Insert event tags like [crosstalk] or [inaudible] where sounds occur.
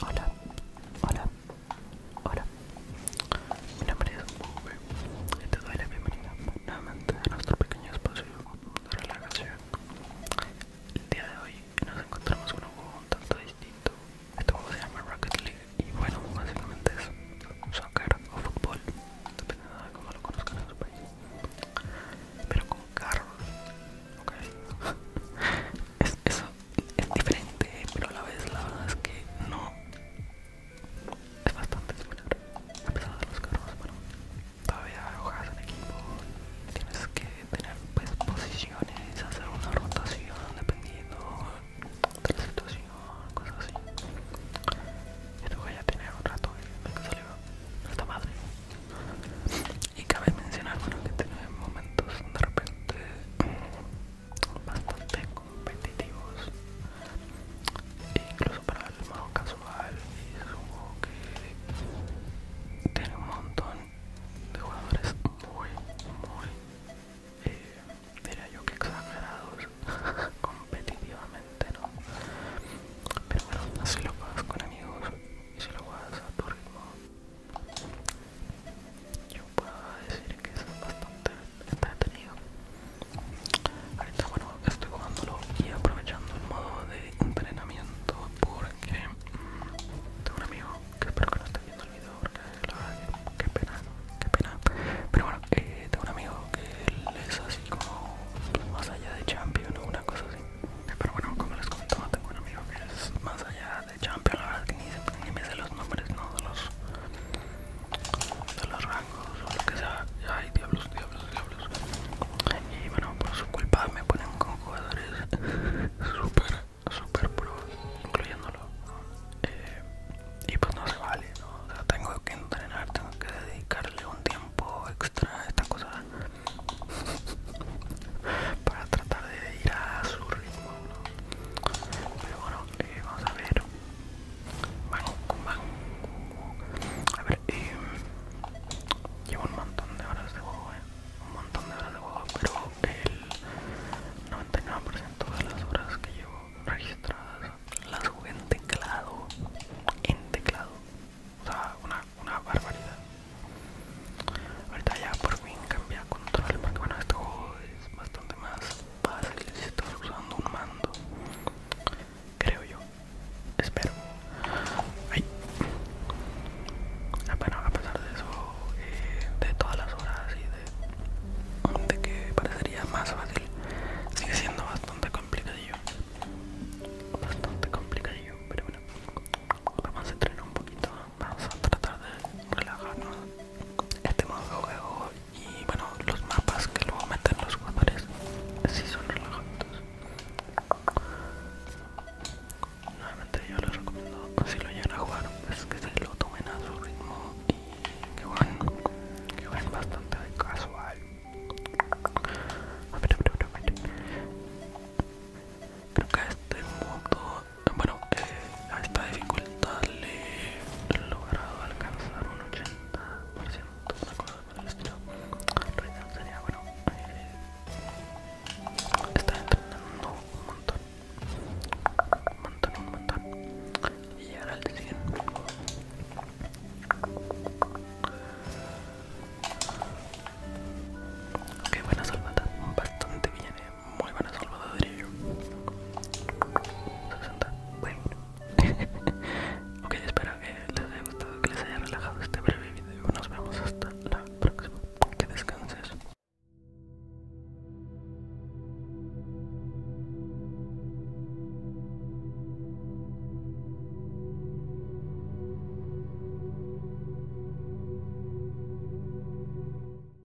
Hola, hola, hola. Mi nombre es Mube y te doy la bienvenida nuevamente a nuestro pequeño espacio de relajación. El día de hoy nos encontramos con un juego un tanto distinto. Este juego se llama Rocket League y bueno, básicamente es soccer o fútbol, dependiendo de cómo lo conozcan en su país pero con carros, ok. [laughs] es, eso es diferente, pero a la vez la verdad es que no. Es bastante similar, a pesar de los carros, bueno, todavía juegas en equipo, tienes que tener pues, posiciones, hacer una rotación dependiendo de la situación o cosas así. Este ya tiene un rato que salió esta madre. Y cabe mencionar que tiene momentos de repente bastante competitivos, incluso para el modo casual. Y es un juego que tiene un montón de jugadores muy, muy. Eh, Diría yo que exagerados [laughs] competitivamente, ¿no? Pero bueno, así lo juegas con amigos y si lo vas a tu ritmo. Yo puedo decir que es bastante entretenido. Ahorita bueno, estoy jugándolo y aprovechando el modo de entrenamiento porque tengo un amigo que espero que no esté viendo el video qué pena, qué pena. Pero bueno, eh, tengo un amigo que es así como más allá de champion o una cosa así. Pero bueno, como les comentaba, tengo un amigo que es más allá de champion. La verdad que ni, me sé los nombres, no de los, rangos o lo que sea. Ay, diablos, diablos, diablos. Y bueno, por su culpa me ponen con jugadores super [laughs] super pro incluyéndolo eh, y pues no se vale ¿no? tengo que entrenar tengo que dedicarle un tiempo extra a esta cosa [laughs] para tratar de ir a su ritmo pero bueno eh, vamos a ver a ver eh, llevo un montón de horas de juego un montón de horas de juego pero el 99% de las horas que llevo registradas las jugué en teclado en teclado o sea una, una barbaridad ahorita ya por fin cambié control porque bueno este juego es bastante más fácil si estás usando un mando creo yo Espero. Ah, bueno, a pesar de eso, eh, de todas las horas y de, que parecería más fácil, sigue siendo bastante complicadillo. Bastante complicadillo, pero bueno. Vamos a entrenar un poquito, vamos a tratar de relajarnos. Este modo de juego y bueno, los mapas que luego meten los jugadores sí son relajantes. Nuevamente yo les recomiendo si lo llegan a jugar es pues que se lo tomen a su ritmo y que jueguen, bastante casual bastante de casual. Creo que a este modo, bueno, a esta dificultad le he logrado alcanzar un 80% una cosa por el estilo. Reddit sería bueno. Eh, está entrenando un montón. Un montón, un montón. Y el al 100. Ok, buena salvada. bastón bien, viene. Muy buena salvada eh, diría yo. 60. [laughs] ok, espero que les haya gustado, que les haya relajado este breve video. Nos vemos hasta la próxima. Que descanses.